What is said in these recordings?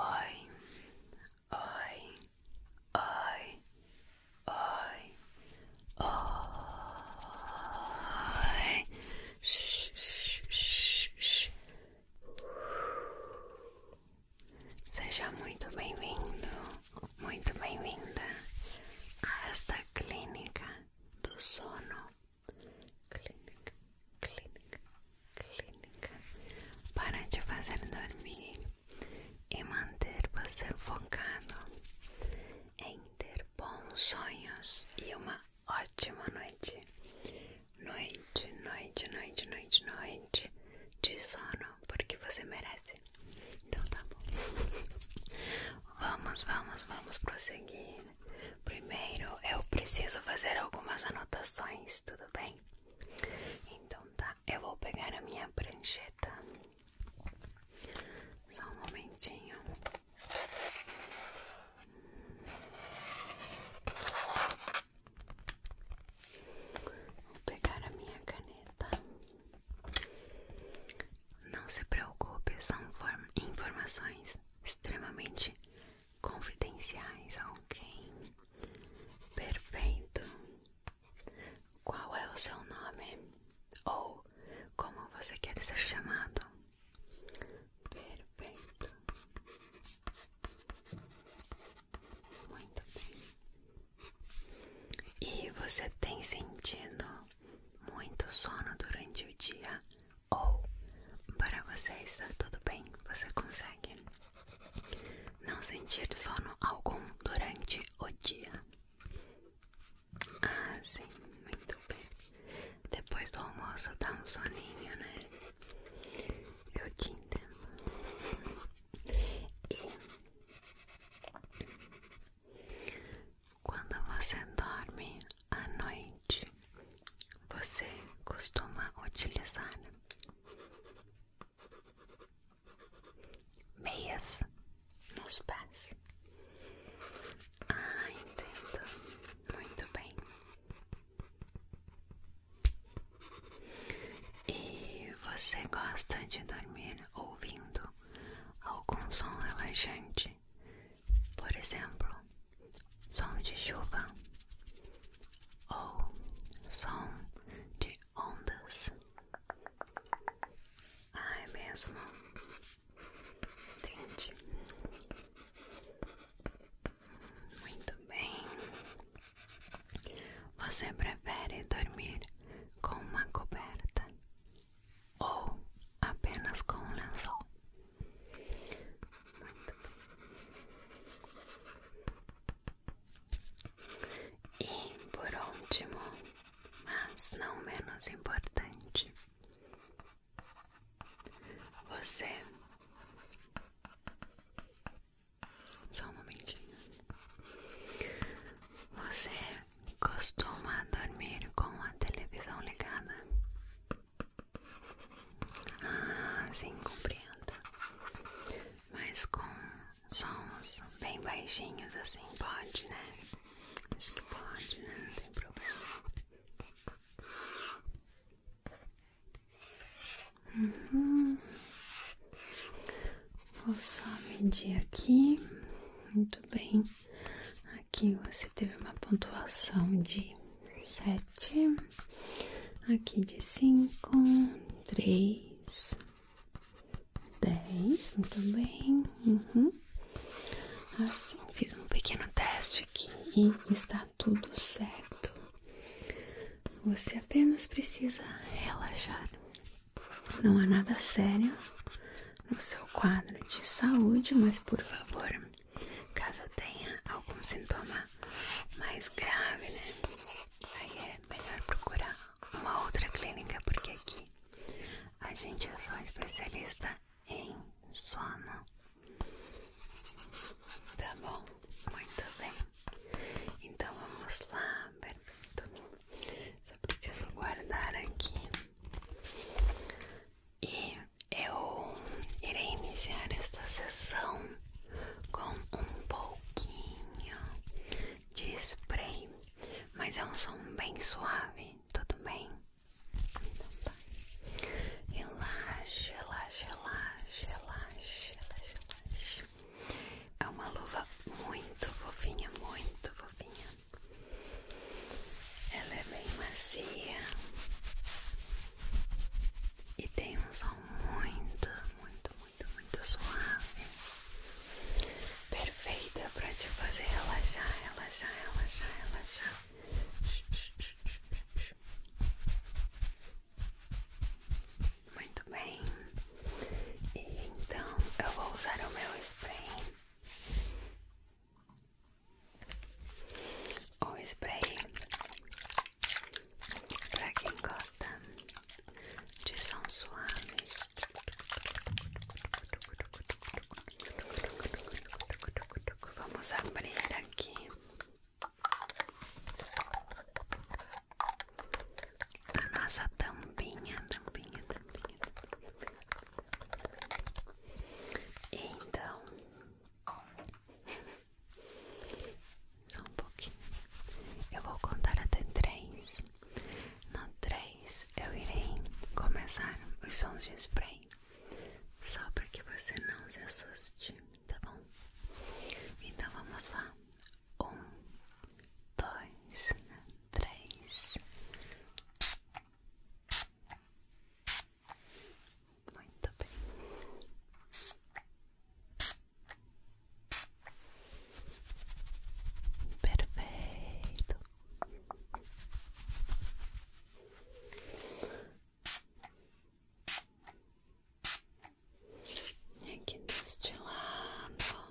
Oi, oi, oi, oi, oi. Shh, shh, shh, shh. Seja muito bem-vindo, muito bem-vinda a esta clínica do sono. Clínica clínica, clínica para te fazer dormir e manter você focado em ter bons sonhos e uma ótima noite. Noite, noite, noite, noite, noite de sono, porque você merece. Então tá bom. vamos, vamos, vamos prosseguir. Primeiro eu preciso fazer algumas anotações, tudo bem? Então tá, eu vou pegar a minha prancheta. Só um momentinho. Vou pegar a minha caneta. Não se preocupe, são informações extremamente confidenciais a alguém. Perfeito. Qual é o seu nome? Ou como você quer ser chamado? Perfeito. Muito bem. E você tem sentido muito sono durante o dia? Ou para você está tudo bem? Você consegue? Não sentir sono algum durante o dia. Ah, sim, muito bem. Depois do almoço dá um soninho, né? Eu te entendo. E quando você dorme à noite, você costuma utilizar Meias nos pés. Ah, entendo. Muito bem. E você gosta de dormir ouvindo algum som relaxante? Por exemplo, som de chuva ou som de ondas. Ah, é mesmo? Entendi. Muito bem. Você prefere dormir com uma coberta ou apenas com um lençol? Muito bem. E por último, mas não menos importante, você. Só um momentinho. Você costuma dormir com a televisão ligada? Ah, sim, compreendo. Mas com sons bem baixinhos assim, pode, né? Acho que pode, né? Não tem problema. Uhum. Vou só medir aqui. Muito bem. Aqui você teve uma pontuação de sete, aqui de cinco, três, dez, muito bem, uhum. assim, fiz um pequeno teste aqui e está tudo certo. Você apenas precisa relaxar, não há nada sério no seu quadro de saúde, mas por favor, caso tenha algum sintoma mais grave, né? Aí é melhor procurar uma outra clínica, porque aqui a gente é só especialista em sono. Tá bom? Muito bem. Então vamos lá, perfeito. Só preciso guardar aqui. E eu irei iniciar esta sessão com um pouquinho de spray, mas é um som bem suave, tudo bem? Então tá. Relaxa, relaxa, relaxa, relaxa, relaxa, É uma luva muito fofinha, muito fofinha. Ela é bem macia. E tem um som muito, muito, muito, muito suave. Perfeita para te fazer relaxar, relaxar, relaxar, relaxar. Muito bem. E então eu vou usar o meu spray. O spray Pra quem gosta de sons suaves. Vamos abrir aqui a nossa tampinha, tampinha. tampinha. Então, só um pouquinho. Eu vou contar até três. No três eu irei começar os sons de spray. Só para que você não se assuste, tá bom? Então vamos lá. Um, dois, três. Muito bem. Perfeito. E aqui deste lado.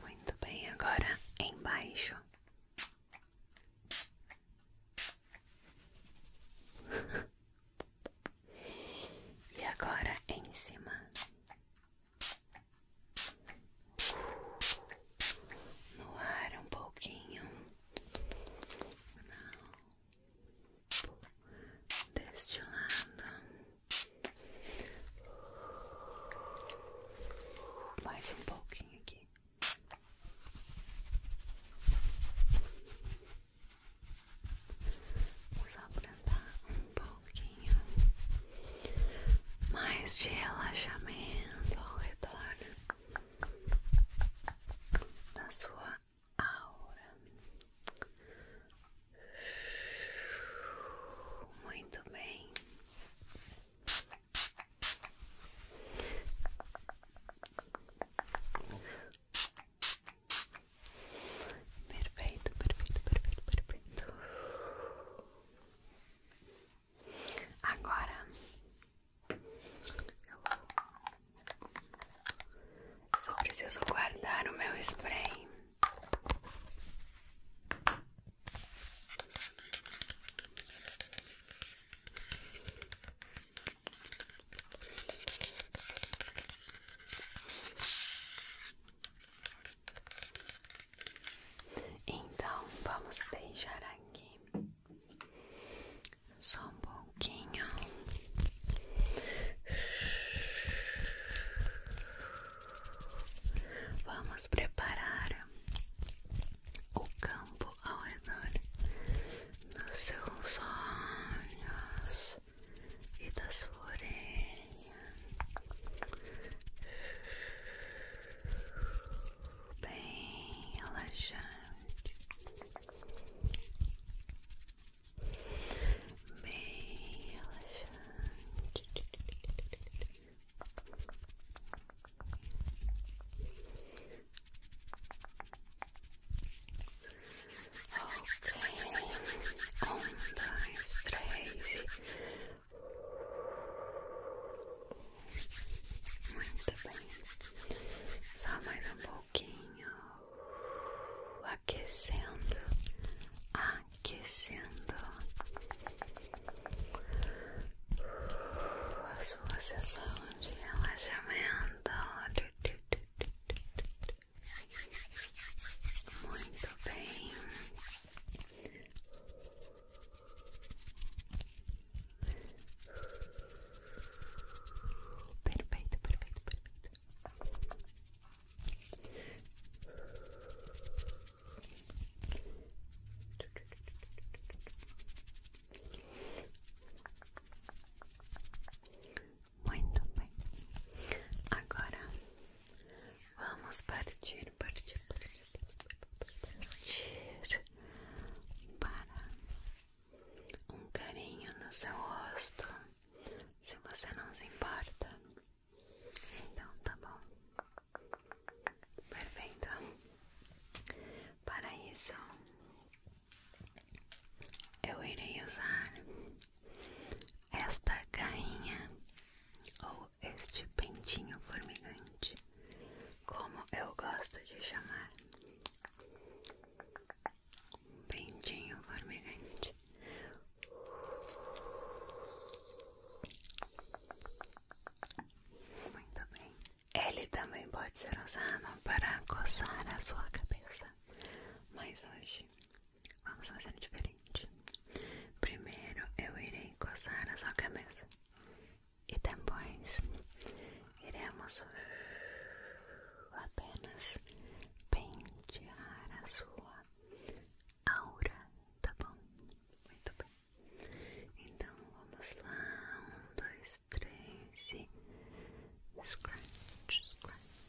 Muito bem, agora embaixo. E agora em cima, no ar um pouquinho, não, deste lado, mais um pouquinho aqui. Só para um pouquinho mais de relaxamento ao redor da sua aura. Muito bem. Perfeito, perfeito, perfeito, perfeito. Agora eu só preciso guardar o meu spray. Então vamos deixar aqui só um pouquinho. Vamos preparar o campo ao redor dos seus olhos. e da sua bem relaxante, bem relaxante Ok, um, dois, três. Muito bem, só mais um pouquinho, aquecendo, aquecendo a sua sessão de relaxamento. Muito bem. Perfeito, perfeito, perfeito. Muito bem. Agora vamos partir, partir, partir, partir para um carinho no seu rosto. Se você não se importa, então tá bom. Perfeito. Para isso, eu irei usar esta garrinha ou este pentinho formigante, como eu gosto de chamar. Pentinho formigante. Muito bem. Ele também pode ser usado para coçar a sua cabeça. Mas hoje vamos fazer diferente. Primeiro eu irei coçar a sua cabeça e depois iremos apenas pentear a sua aura, tá bom? Muito bem. Então vamos lá, um, dois, três e scratch, scratch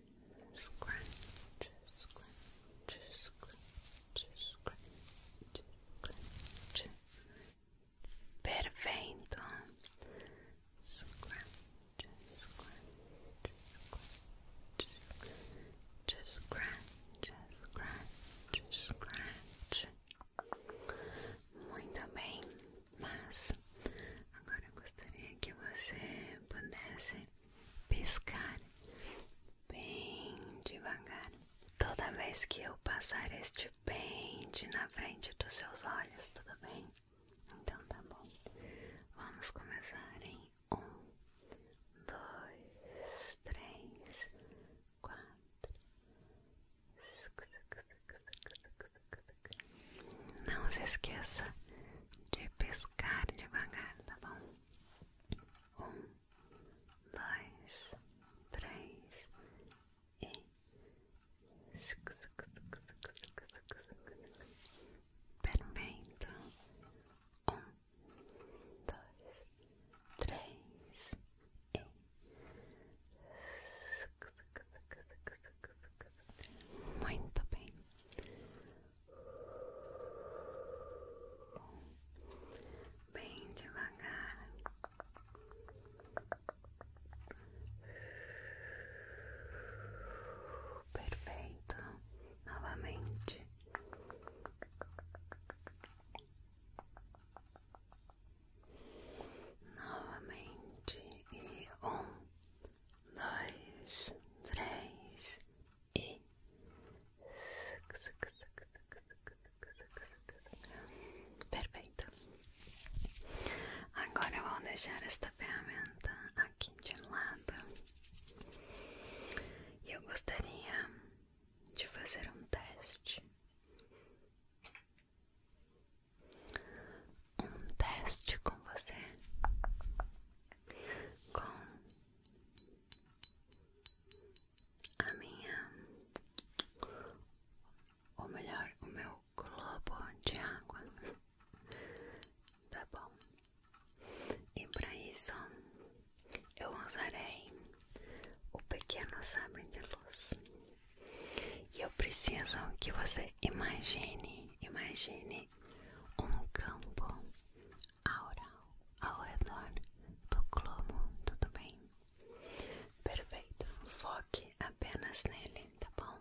Scratch, scratch, scratch, scratch, scratch. Perfeito. Scratch, scratch, scratch, scratch, scratch, scratch. Muito bem, mas agora eu gostaria que você pudesse piscar bem devagar. Toda vez que eu passar este pente na frente dos seus olhos, tudo bem? Então tá bom. Vamos começar em um, dois, três, quatro. Não se esqueça de pescar devagar, tá bom? um, dois, três e perfeito, um, dois, três e muito bem bem devagar. Perfeito, novamente. Novamente, e um, dois, três, e perfeito. Agora vou deixar esta ferramenta aqui de lado e eu gostaria de fazer um teste. Um teste com você com a minha, ou melhor, o meu globo de água. Tá bom. E para isso eu usarei o pequeno sabre de luz. E eu preciso que você imagine, imagine um campo aural ao redor do globo, tudo bem? Perfeito, foque apenas nele, tá bom?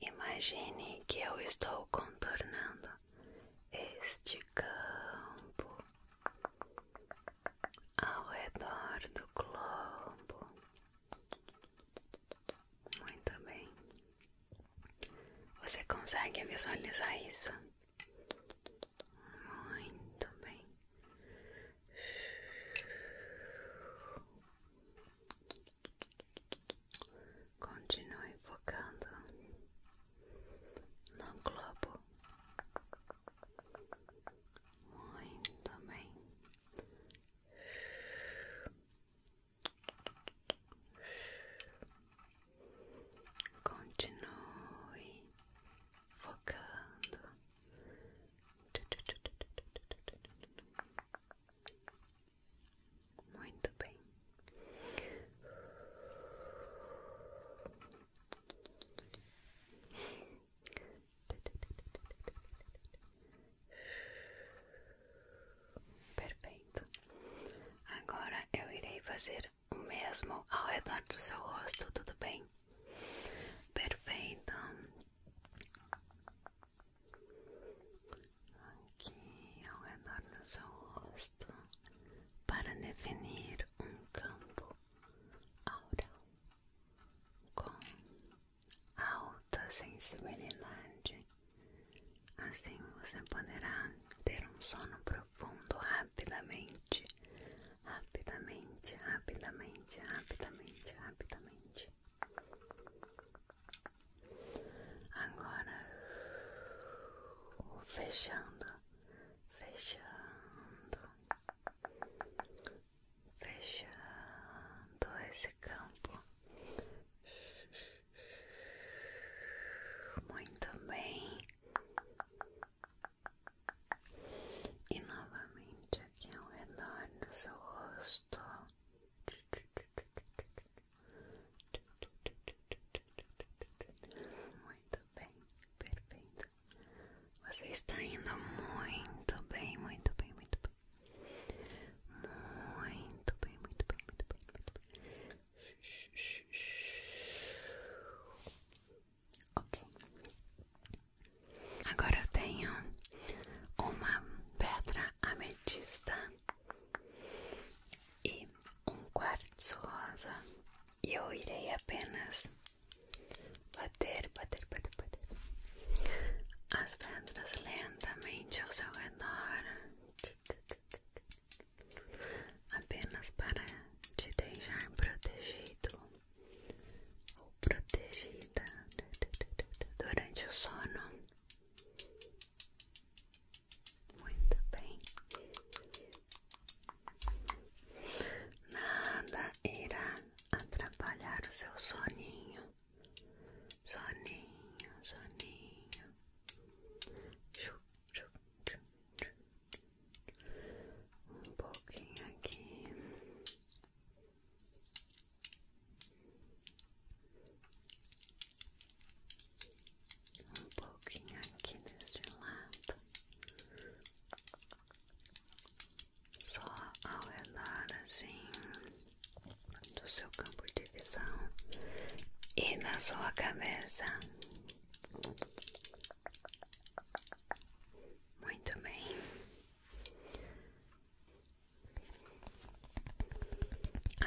Imagine que eu estou contornando este campo ao redor do globo muito bem. Você consegue visualizar isso? Muito bem. Continue focando no globo. Muito bem. Continue focando. Muito bem. Perfeito. Agora eu irei fazer o mesmo ao redor do seu rosto, tudo bem? Perfeito. Aqui ao redor do seu rosto, para definir um campo aural com alta sensibilidade. Assim você poderá ter um sono profundo rapidamente, rapidamente, rapidamente, rapidamente, rapidamente. Agora, fechando, fechando, fechando esse campo. Muito bem. E novamente aqui ao redor do seu rosto. Muito bem, perfeito. Você está indo muito bem, muito bem, muito bem. Muito bem, muito bem, muito bem, muito bem. Ok. Agora eu tenho uma pedra ametista e um quartzo rosa. E eu irei apenas bater, bater, bater, bater as pedras lentamente ao seu redor apenas para te deixar protegido ou protegida durante o sono. Muito bem. Nada irá atrapalhar o seu soninho. soninho, soninho. Um pouquinho aqui. Um pouquinho aqui deste lado, só ao redor assim. do seu campo de visão e na sua cabeça. Muito bem.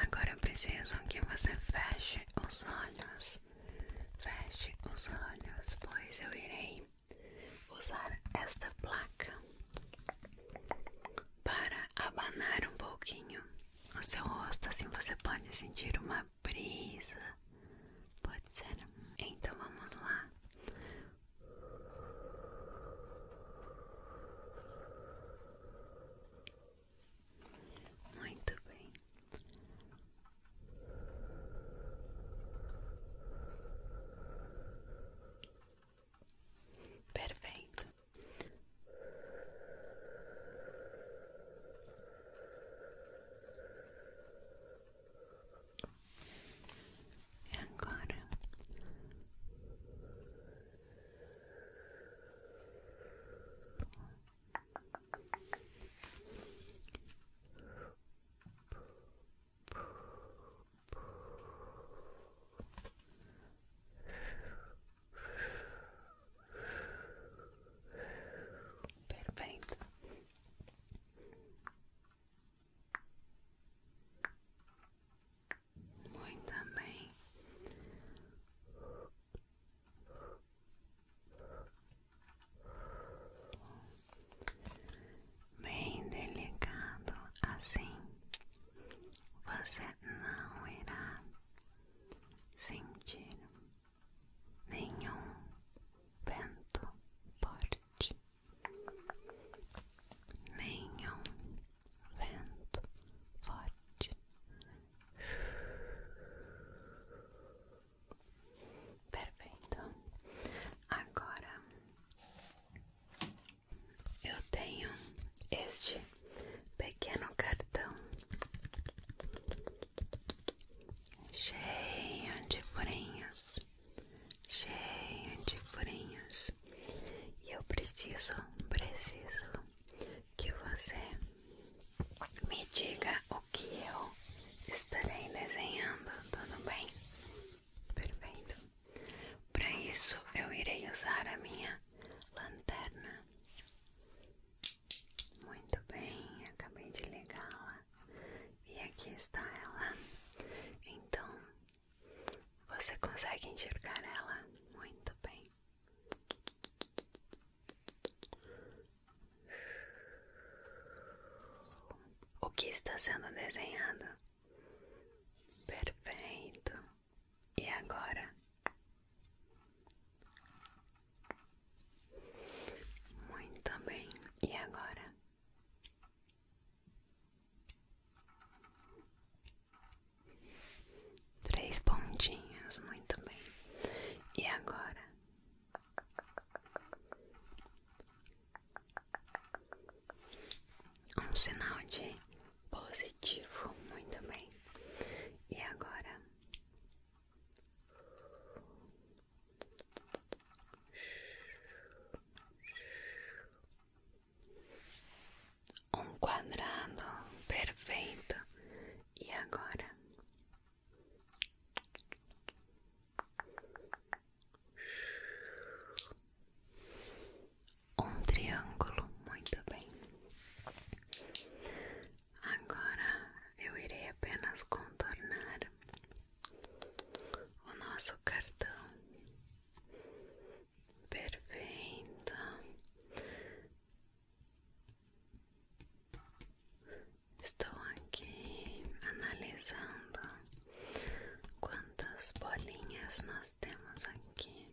Agora eu preciso que você feche os olhos. Feche os olhos, pois eu irei usar esta placa para abanar um pouquinho o seu rosto, assim você pode sentir uma brisa. Pode ser? Então vamos lá. Muito bem. Perfeito. E agora Perfeito. Muito bem. Bem delicado assim você não irá sentir nenhum vento forte, nenhum vento forte. Perfeito. Agora eu tenho este pequeno cartão cheio de furinhos, cheio de furinhos, e eu preciso, preciso que você me diga o que eu estarei desenhando, tudo bem? Perfeito. Para isso eu irei usar a minha lanterna. Muito bem, acabei de ligá-la e aqui está ela. Então você consegue enxergar ela muito bem. O que está sendo desenhado? Perfeito. E agora? Muito bem. E agora? Três pontinhos, muito bem. E agora? Um sinal de Positivo, muito bem. E agora? Um quadrado perfeito. E agora? um triângulo, muito bem. Agora eu irei apenas contornar o nosso cartão. Perfeito. Estou aqui analisando quantas bolinhas nós temos aqui.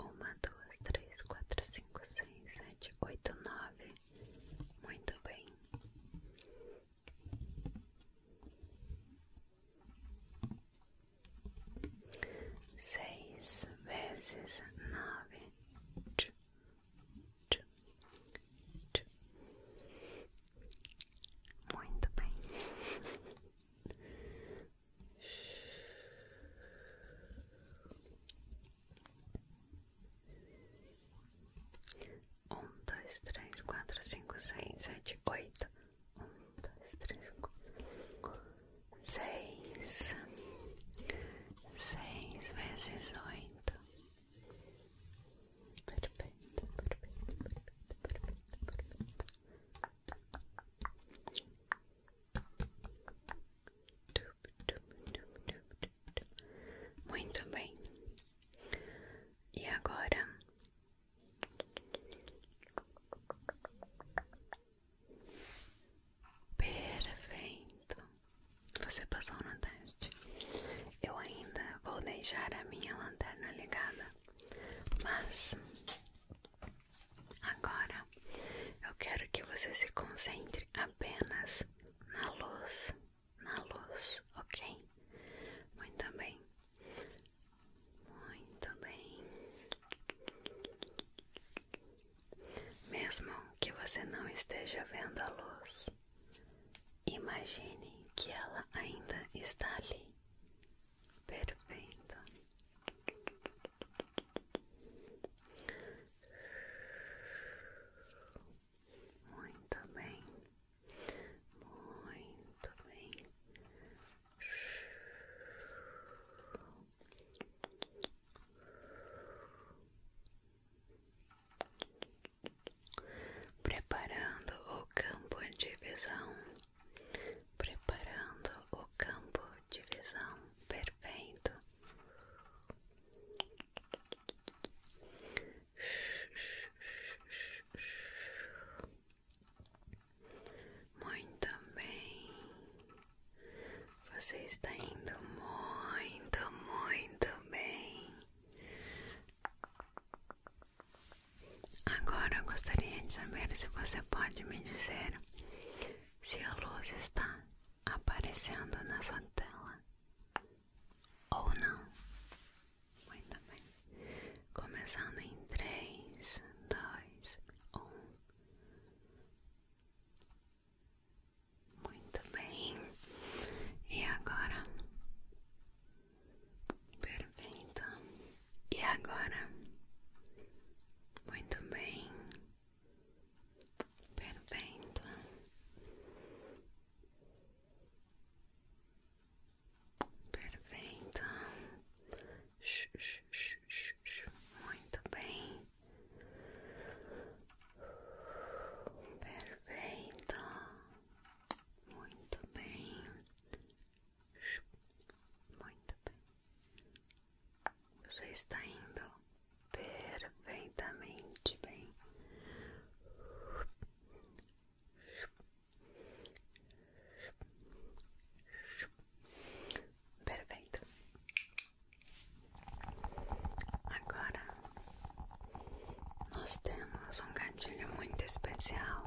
Uma, duas, três, quatro, cinco, seis, sete, oito, nove. Muito bem. Seis vezes nove. Muito bem. Um, dois, três, quatro, cinco, seis, sete, oito. Um, dois, três, quatro, seis. Seis vezes oito. Perfeito, perfeito, perfeito, perfeito, perfeito. Muito bem. E agora Perfeito. Você passou no teste. Eu ainda vou deixar a minha lanterna ligada, mas Agora eu quero que você se concentre apenas na luz, na luz, ok? Muito bem, muito bem. Mesmo que você não esteja vendo a luz, imagine que ela ainda está ali. Perfeito. Muito bem, muito bem. Preparando o campo de visão, preparando o campo Divisão visão perfeito. Muito bem, você está indo muito, muito bem. Agora eu gostaria de saber se você pode me dizer se a luz está aparecendo na sua tela ou não. Muito bem. Começando em 3, 2, 1. Muito bem. E agora? Perfeito. E agora? Muito bem. Perfeito. Perfeito. Muito bem. Perfeito. Muito bem. Muito bem. Você está indo perfeitamente bem. Perfeito. Agora nós temos um gatilho muito especial.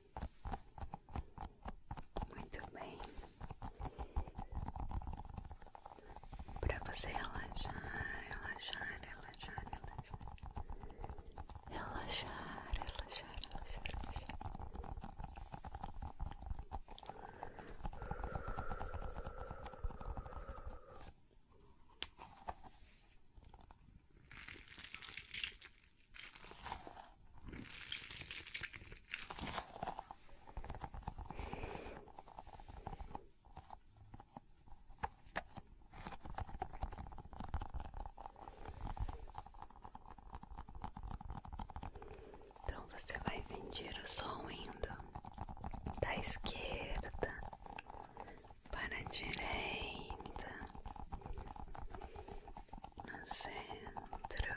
Muito bem. Para você relaxar, relaxar, relaxar, relaxar. Relaxar, relaxar, então você vai sentir o som indo da esquerda para a direita no centro,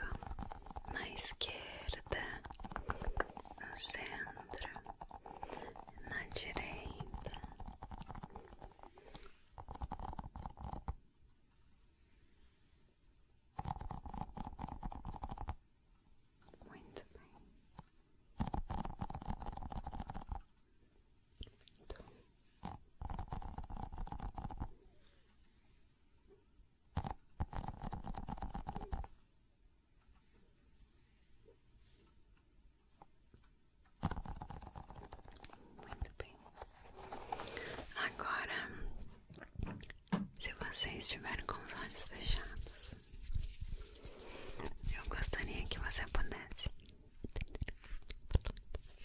na esquerda, no centro, na direita. Muito bem. Então, muito bem. Agora, se você estiver com os olhos fechados, eu gostaria que você pudesse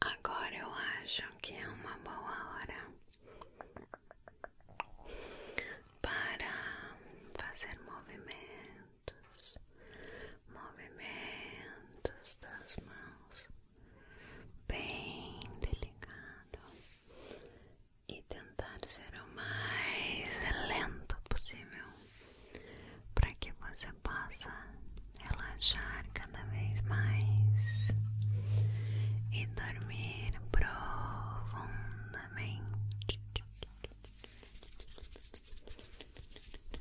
Agora eu acho que é uma boa hora para fazer movimentos, movimentos das mãos bem delicado e tentar ser o mais lento possível para que você possa relaxar cada vez mais e dormir profundamente.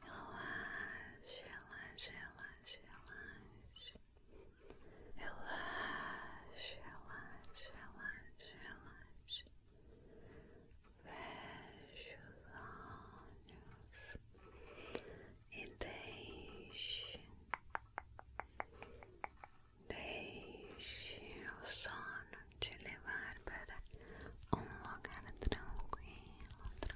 Relaxe, relaxe, relaxe, relaxe. Relaxe, relaxe, relaxe, relaxe. Feche os olhos e deixe, deixe o sono te levar para um lugar tranquilo, tranquilo.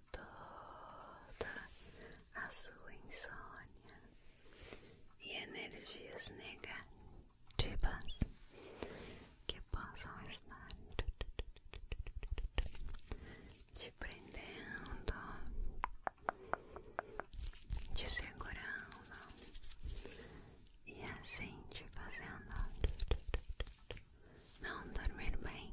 toda a sua insônia e energias negativas que possam estar te prendendo, te segurando e assim te fazendo não dormir bem.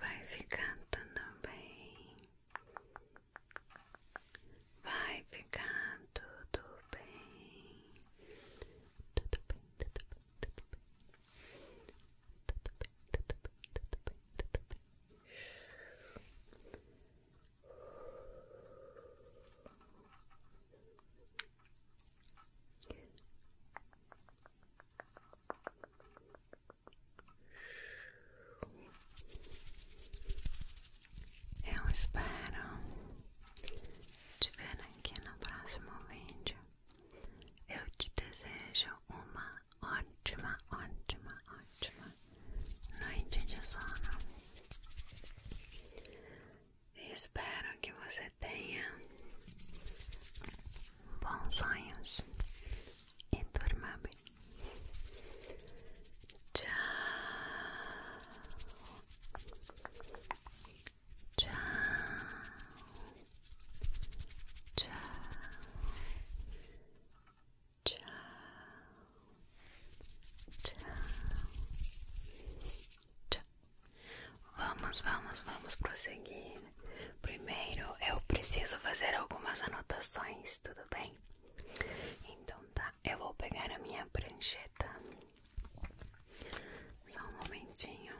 Vai ficar tudo bem. Vai ficar tudo bem. Tudo bem, tudo bem, tudo bem. Tudo bem, tudo bem, tudo bem, tudo bem. Tudo bem. Eu espero te ver aqui no próximo vídeo. Eu te desejo uma ótima, ótima, ótima noite de sono. Espero que você tenha bons sonhos e durma bem. Tchau. Tchau. Tchau. Tchau. Tchau. Tchau. Vamos, vamos, vamos prosseguir Primeiro eu preciso fazer algumas anotações, tudo bem? Então tá, eu vou pegar a minha prancheta. Só um momentinho.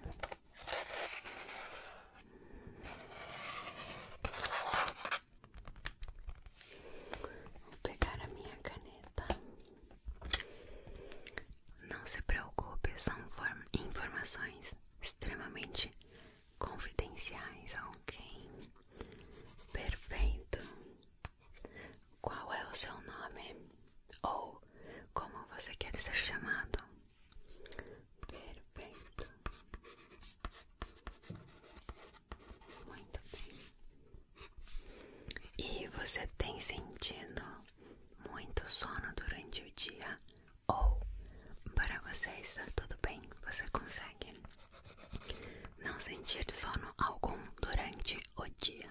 Vou pegar a minha caneta. Não se preocupe, são informações extremamente confidenciais a alguém. Perfeito. Qual é o seu nome? Ou como você quer ser chamado? Perfeito. Muito bem. E você tem sentido muito sono durante o dia ou para você está tudo bem, você consegue não sentir sono algum durante o dia.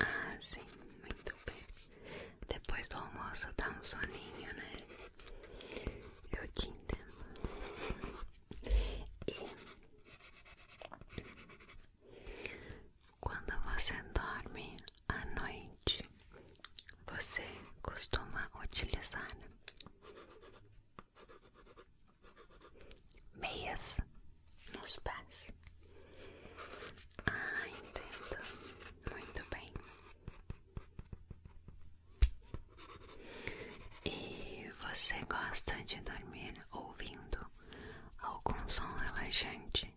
Ah, sim, muito bem. Depois do almoço dá um soninho, né? Eu te entendo. E quando você dorme, à noite você costuma utilizar meias nos pés? Ah, entendo. Muito bem. E você gosta de dormir ouvindo algum som relaxante?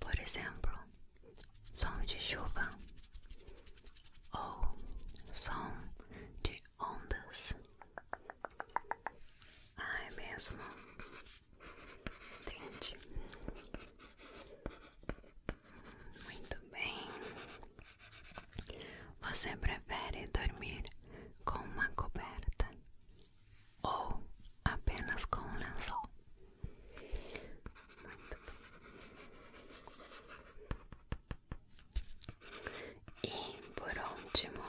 por exemplo, som de chuva ou som de ondas. Ah, é mesmo? Entendi. Muito bem. Você prefere dormir com uma coberta ou apenas com um lençol? Muito E por último,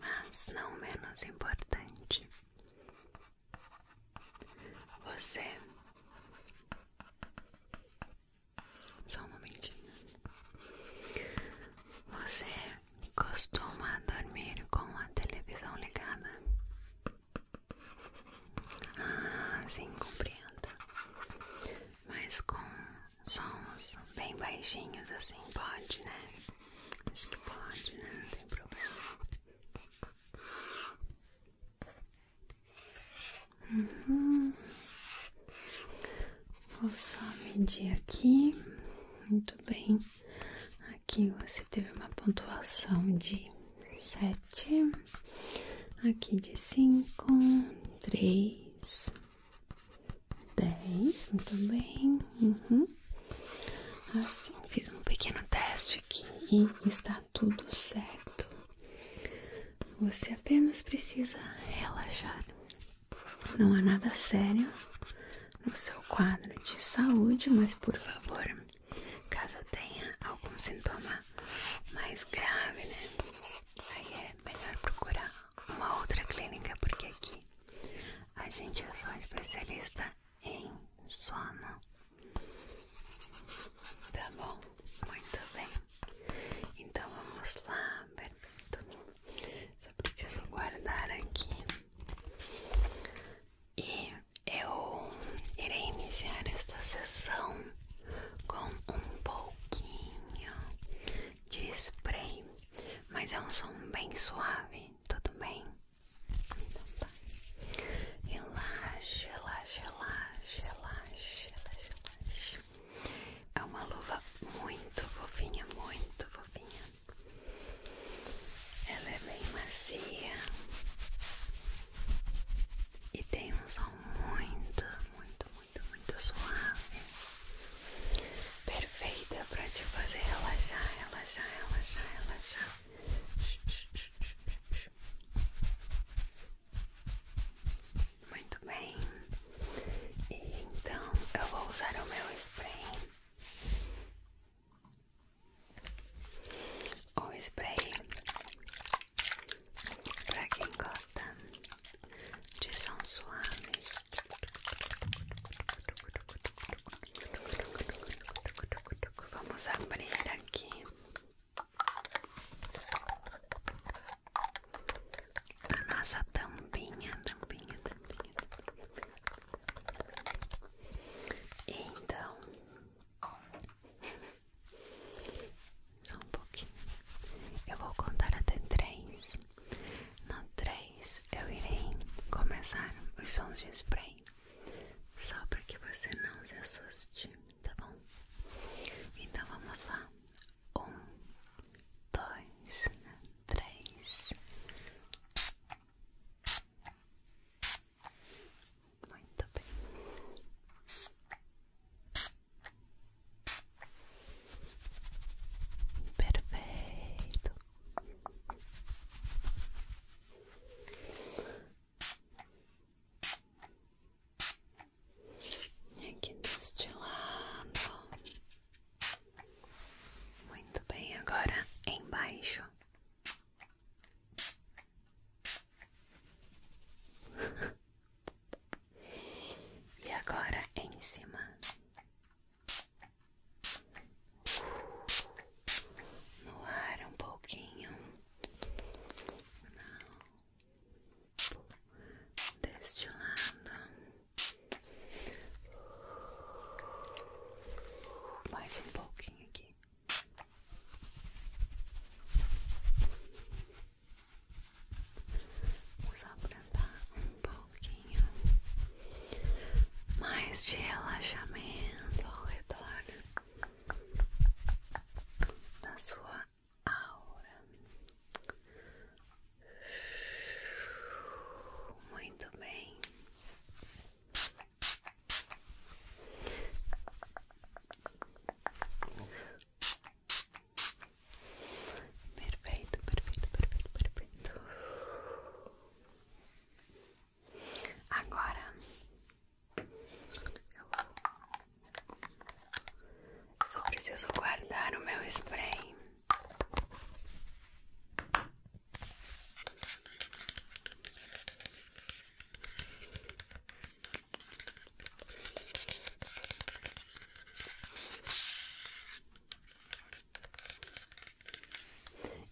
mas não menos importante, você. Só um momentinho. Você costuma dormir com a televisão ligada? Ah, sim, compreendo. Mas com sons bem baixinhos assim, pode, né? Acho que pode, né? Não tem problema. Uhum. Vou só medir aqui. Muito bem. Aqui você teve uma pontuação de sete, aqui de cinco, três, dez, muito bem, uhum. assim, fiz um pequeno teste aqui e está tudo certo. Você apenas precisa relaxar, não há nada sério no seu quadro de saúde, mas por favor, Caso tenha algum sintoma mais grave, né? Aí é melhor procurar uma outra clínica, porque aqui a gente é só especialista em sono. Tá bom? Muito bem. Então vamos lá, perfeito. Só preciso guardar aqui. E eu irei iniciar esta sessão com um pouquinho de spray, mas é um som bem suave, tudo bem? Então tá. Relaxa, relaxa, relaxa, relaxa, relaxa, relaxa. É uma luva muito fofinha, muito fofinha. Ela é bem macia e tem um som muito, muito, muito, muito suave, perfeita para te fazer relaxar, relaxar, relaxar, relaxar. Muito bem, e então eu vou usar o meu spray. O spray para quem gosta de sons suaves. Vamos abrir aqui a nossa tampinha, tampinha, tampinha, tampinha. E então só um pouquinho. Eu vou contar até três. No três eu irei começar os sons de spray. Só para que você não se assuste, tá bom? Então vamos lá. Um, dois, três. Muito bem. Perfeito. E aqui deste lado. Muito bem, agora embaixo. E agora em cima, no ar um pouquinho, não, deste lado, mais um pouquinho aqui. Só para um pouquinho mais de relaxamento ao redor da sua aura. Muito bem. Perfeito, perfeito, perfeito, perfeito. Agora eu só preciso guardar o meu spray.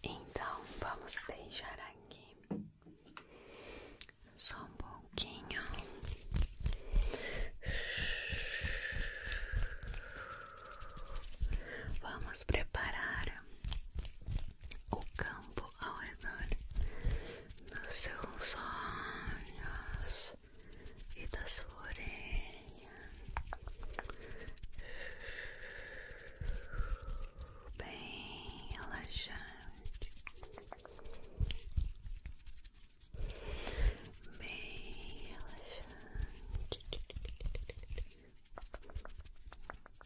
Então vamos deixar aqui só um pouquinho. Vamos preparar o campo ao redor dos seus sonhos e da sua orelha. Bem relaxante, bem relaxante.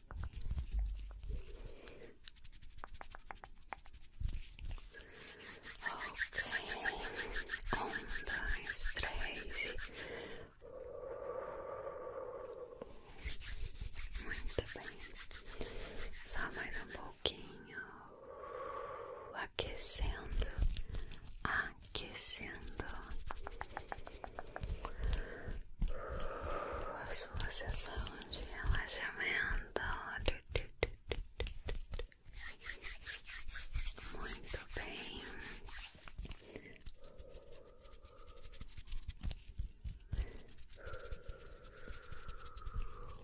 Ok, um, dois, três. Muito bem, só mais um pouquinho, aquecendo, aquecendo a sua sessão de relaxamento. Muito bem.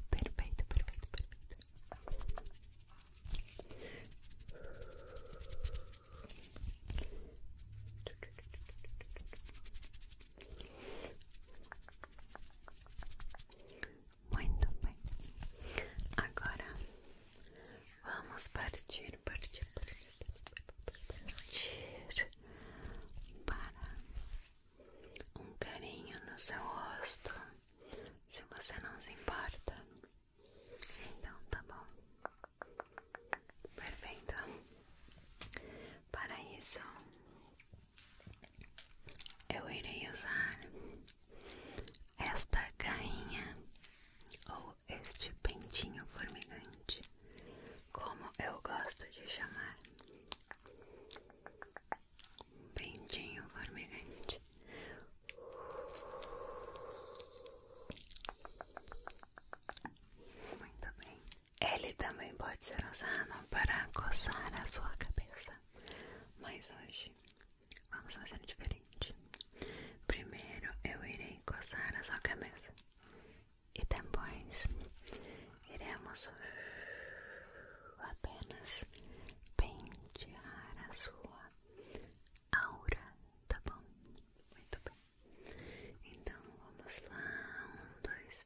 Perfeito, perfeito, perfeito. Muito bem. Agora vamos partir, partir, partir, partir para um carinho no seu rosto. Se você não se importa, então tá bom. Perfeito. Para isso, eu irei usar esta garrinha ou este pentinho formigante, como eu gosto de chamar. Pentinho formigante. Muito bem. Ele também pode ser usado para coçar a sua cabeça, mas hoje vamos fazer diferente. Primeiro eu irei coçar a sua cabeça e depois iremos apenas pentear a sua aura, tá bom? Muito bem. Então vamos lá, um, dois,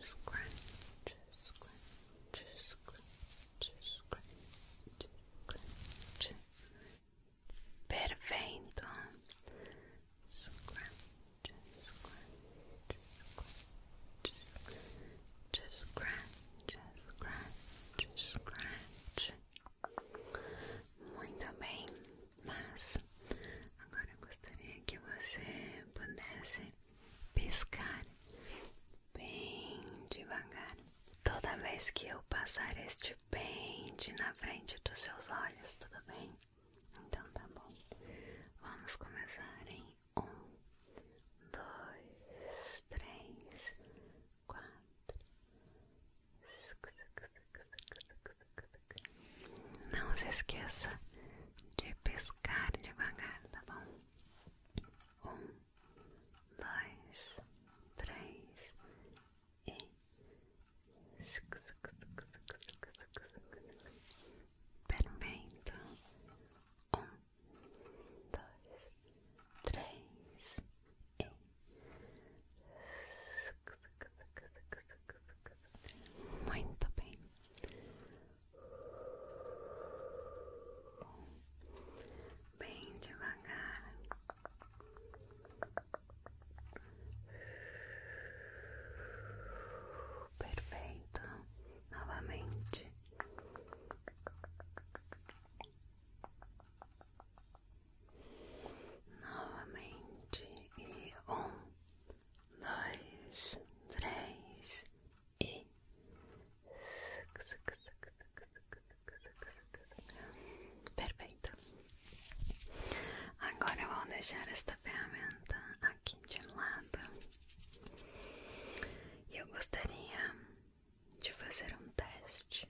scratch, scratch, scratch, scratch, scrunch. Perfeito. Scrunch, scrunch, scrunch, scrunch, scrunch, scrunch. Muito bem, mas Agora eu gostaria que você pudesse piscar bem devagar. Toda vez que eu passar este pente na frente dos seus olhos, tudo bem? Então tá bom. Vamos começar em um, dois, três, quatro. Não se esqueça de pescar devagar, tá bom? Um, dois, três e. Perfeito. Um, dois, três e. Muito bem bem devagar. Perfeito, novamente. Novamente e um, dois, três e perfeito. Então. Agora vou deixar esta ferramenta aqui de lado. Eu gostaria de fazer um teste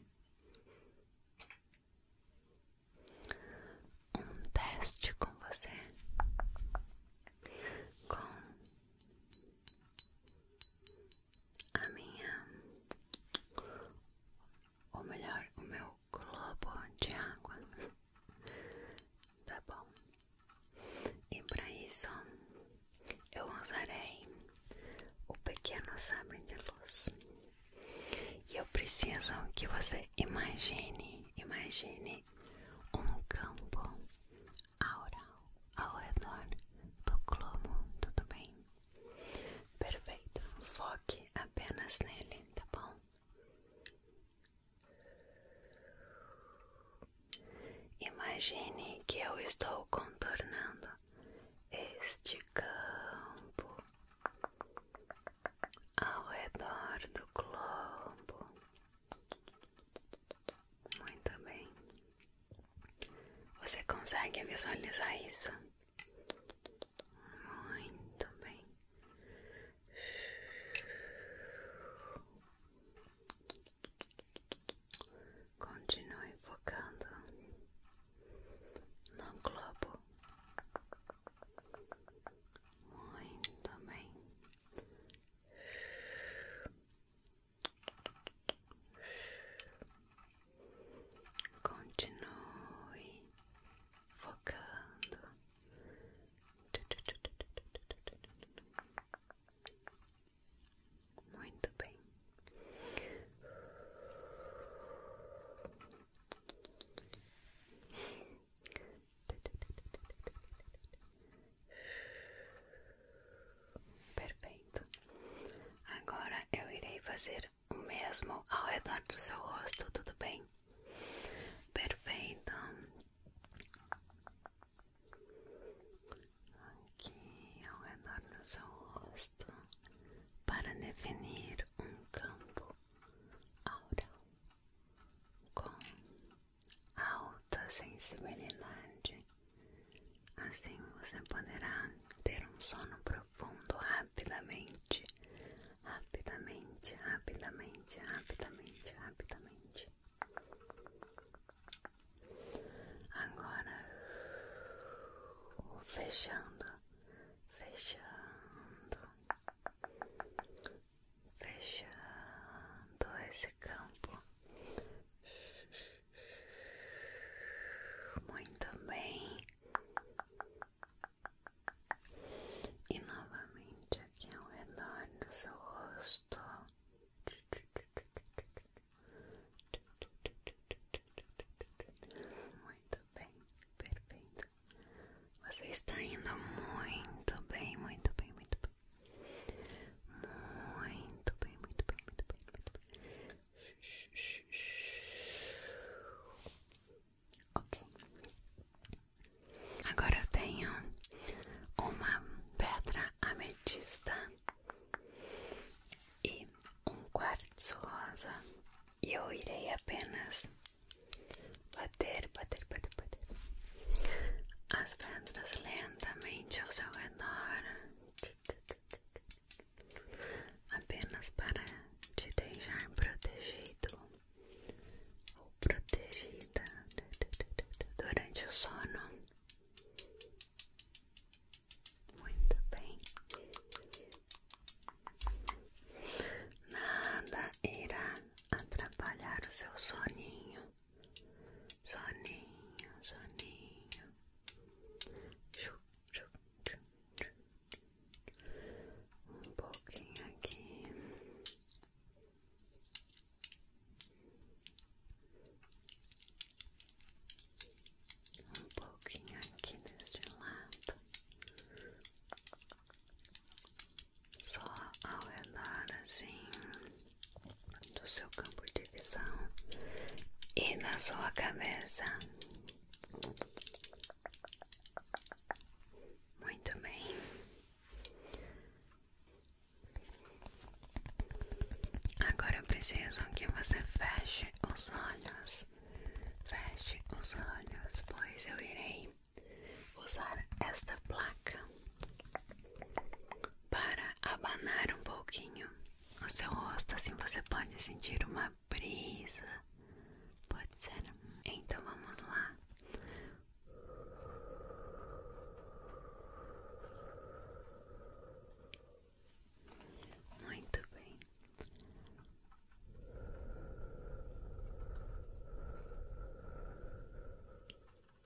um teste com você com a minha, ou melhor, o meu globo de água, tá bom? E para isso eu usarei o pequeno sabre de luz. E eu preciso que você imagine, imagine um campo aural ao redor do globo, tudo bem? Perfeito, foque apenas nele, tá bom? Imagine que eu estou contornando este campo ao redor do globo muito bem. Você consegue visualizar isso? Muito bem. Continue focando no globo. Muito bem. Continue focando. Muito bem. Perfeito. Agora eu irei fazer o mesmo ao redor do seu rosto, tudo bem? Perfeito. Aqui ao redor do seu rosto para definir um campo aural com alta sensibilidade. Assim você poderá ter um sono profundo rapidamente, rapidamente, rapidamente, rapidamente, rapidamente. Agora, fechando, fechando, fechando esse campo muito bem e novamente aqui ao redor do seu rosto muito bem, perfeito. Você está indo muito bem, muito bem, muito bem. Muito bem, muito bem, muito bem, muito bem. Ok. Agora eu tenho uma pedra ametista e um quartzo rosa. E eu irei apenas bater, bater, bater, bater as pedras lentamente ao seu redor, apenas para te deixar protegido ou protegida durante o sono. Muito bem. Nada irá atrapalhar o seu soninho. soninho, soninho. Um pouquinho aqui. Um pouquinho aqui deste lado. só ao redor assim do seu campo de visão e na sua cabeça. Muito bem. Agora eu preciso que você feche os olhos. Feche os olhos, pois eu irei usar esta placa para abanar um pouquinho o seu rosto, assim você pode sentir uma brisa. Pode ser. Então vamos lá. Muito bem.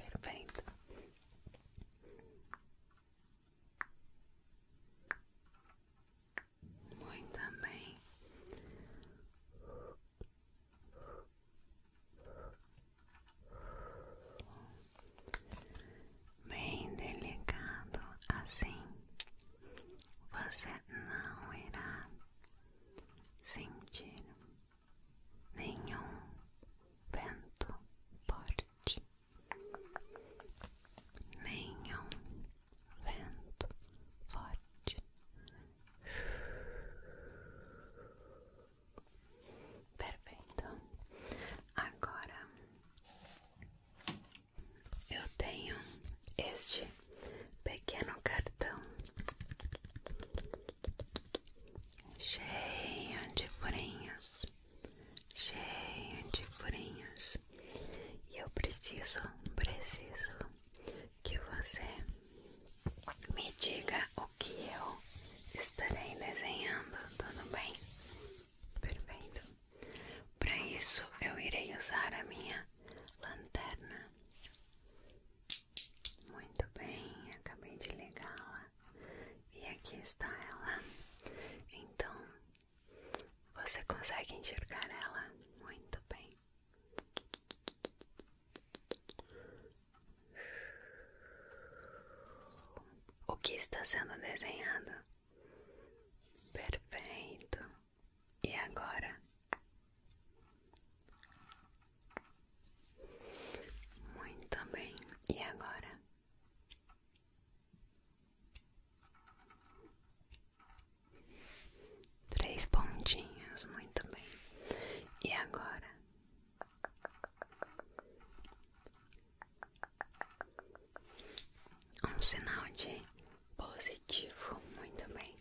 Perfeito. Muito bem bem delicado assim, você não irá sentir nenhum vento forte, nenhum vento forte. Perfeito. Agora eu tenho este pequeno cartão cheio de furinhos, cheio de furinhos, e eu preciso, preciso que você me diga o que eu estarei desenhando, tudo bem? Perfeito. Para isso, eu irei usar a minha lanterna. Muito bem, acabei de ligá-la e aqui está ela. Então, você consegue enxergar ela muito bem. O que está sendo desenhado? Perfeito. E agora? Muito bem. E agora? Três pontinhos, muito bem. E agora? Um sinal de positivo, muito bem.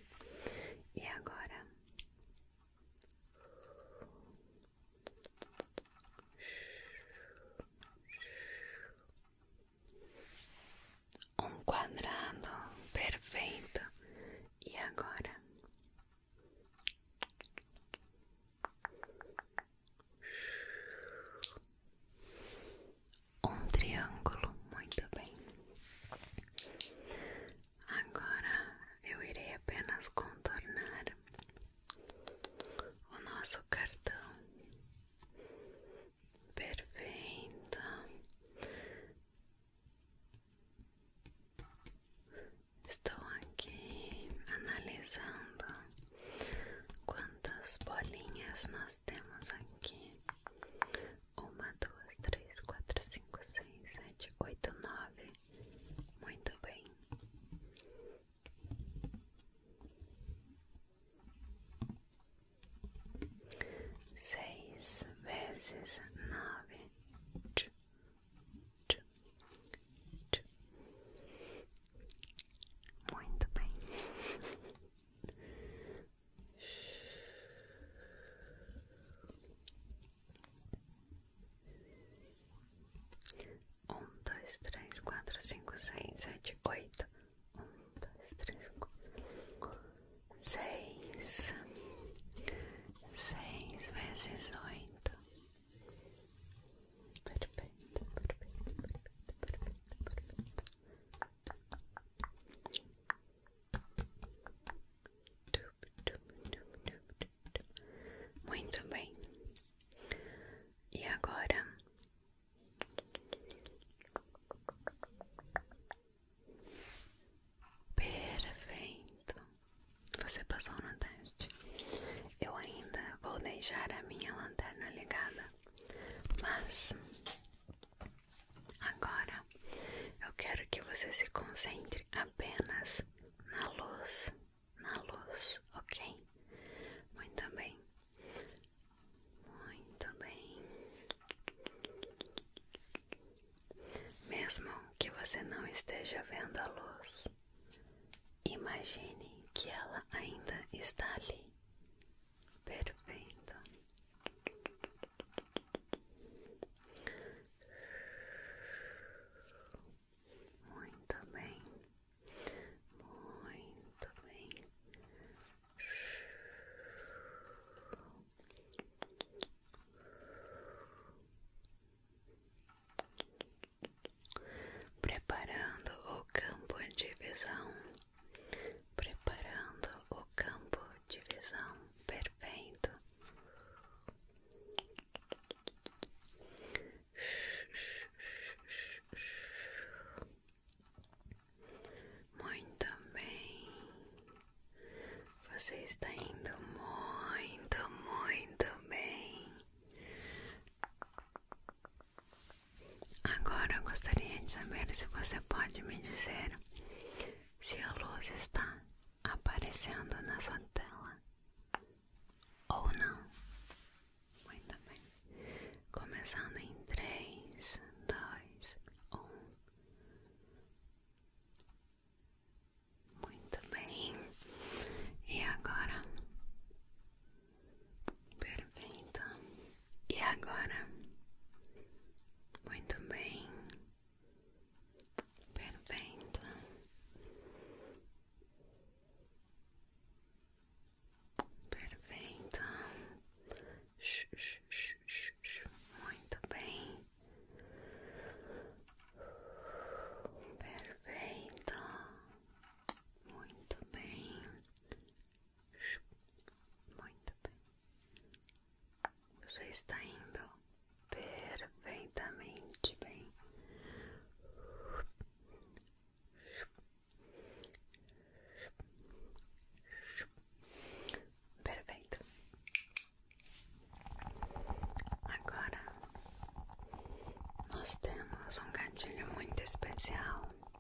E agora? Um quadrado perfeito. E agora? um triângulo, muito bem. Agora eu irei apenas contornar o nosso cartão. Perfeito. Estou aqui analisando quanto quantas bolinhas nós temos aqui? Uma, duas, três, quatro, cinco, seis, sete, oito, nove. Muito bem. Seis vezes nove. Tchum, tchum, tchum. Muito bem. Um, dois, três, quatro, cinco, seis, sete, oito. Um, dois, três, quatro, seis. Seis vezes oito. Perfeito, perfeito, perfeito, perfeito, perfeito. Muito bem. E agora perfeito. Você passou no teste. Eu ainda vou deixar a minha lanterna ligada mas agora eu quero que você se concentre apenas na luz, na luz, ok? Muito bem, muito bem. Mesmo que você não esteja vendo a luz, imagine que ela ainda está ali, Perfeito. Muito bem. Muito bem. Preparando o campo de visão preparando o campo de visão perfeito. Muito bem, você está indo muito, muito bem. Agora eu gostaria de saber se você pode me dizer se a luz está aparecendo na sua tela ou não. Muito bem. Começando em 3, 2, 1. Muito bem. E agora Perfeito. E agora? Muito bem. Perfeito. Perfeito. Muito bem. Perfeito. Muito bem. Muito bem. Você está indo perfeitamente bem. Perfeito. Agora nós temos um gatilho muito especial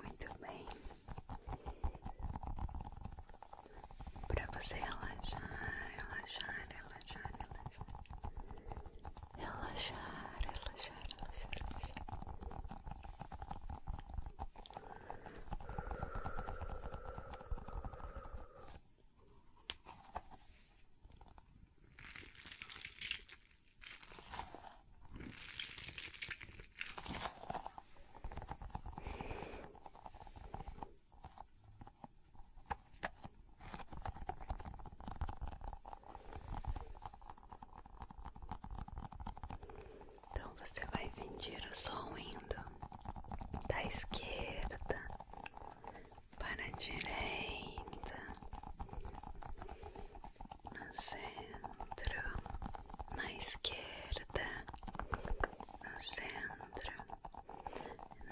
Muito bem. Para você relaxar, relaxar, relaxar, relaxar. Relaxar, relaxar, relaxar. Então você vai sentir o som indo da esquerda para a direita, no centro, na esquerda, no centro,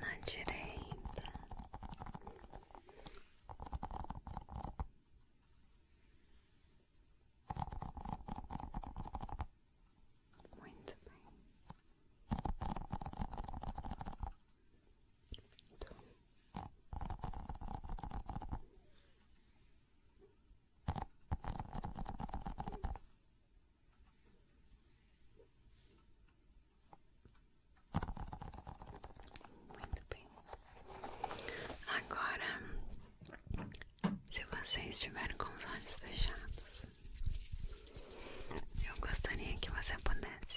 na direita. Muito bem. Muito bem. Agora, se você estiver com os olhos fechados, eu gostaria que você pudesse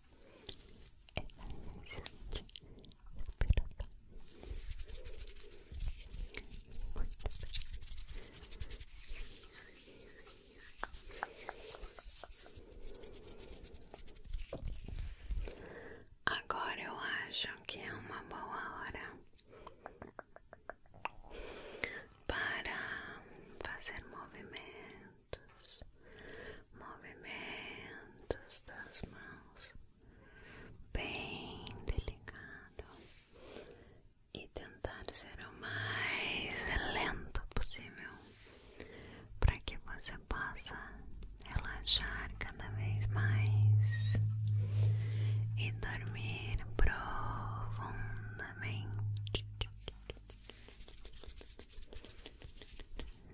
Agora eu acho que é uma boa hora para fazer movimento movimentos, das mãos, bem delicado, e tentar ser o mais lento possível, para que você possa relaxar cada vez mais e dormir profundamente.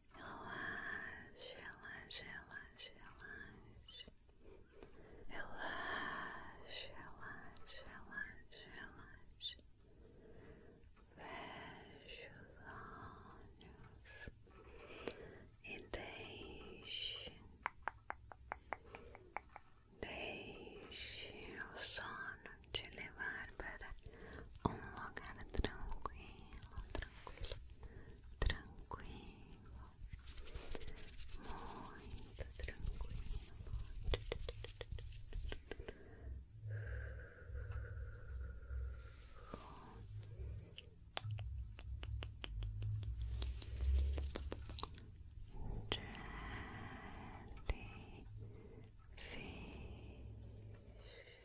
Ela, ela, ela, ela, ela, ela, ela, ela, Feche os olhos e deixe, deixe o sono te levar para um lugar tranquilo, tranquilo, tranquilo, muito tranquilo. Jellyfish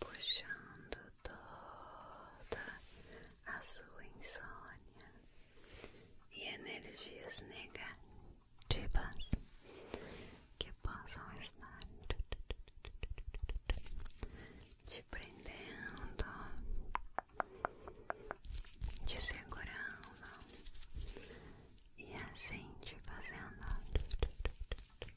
puxando toda a sua insônia e energias negativas que possam estar te prendendo, te segurando e assim te fazendo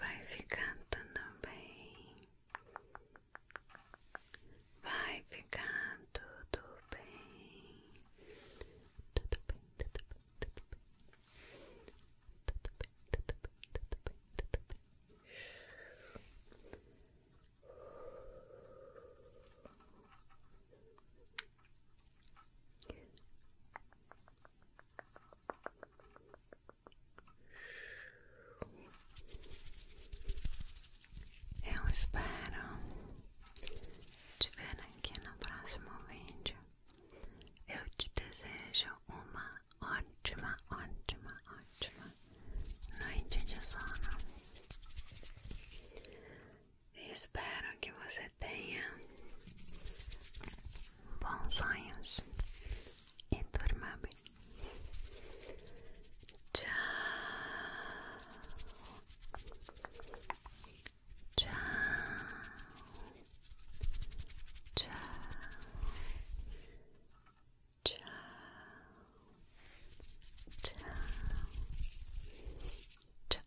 Vai ficar tudo bem. Vai ficar tudo bem. Tudo bem, tudo bem, tudo bem. Tudo bem, tudo bem, tudo bem, tudo bem. Eu espero te ver aqui no próximo vídeo. Eu te desejo uma ótima, ótima, ótima noite de sono. Espero que você tenha bons sonhos e durma bem. Tchau, tchau, tchau, tchau, tchau.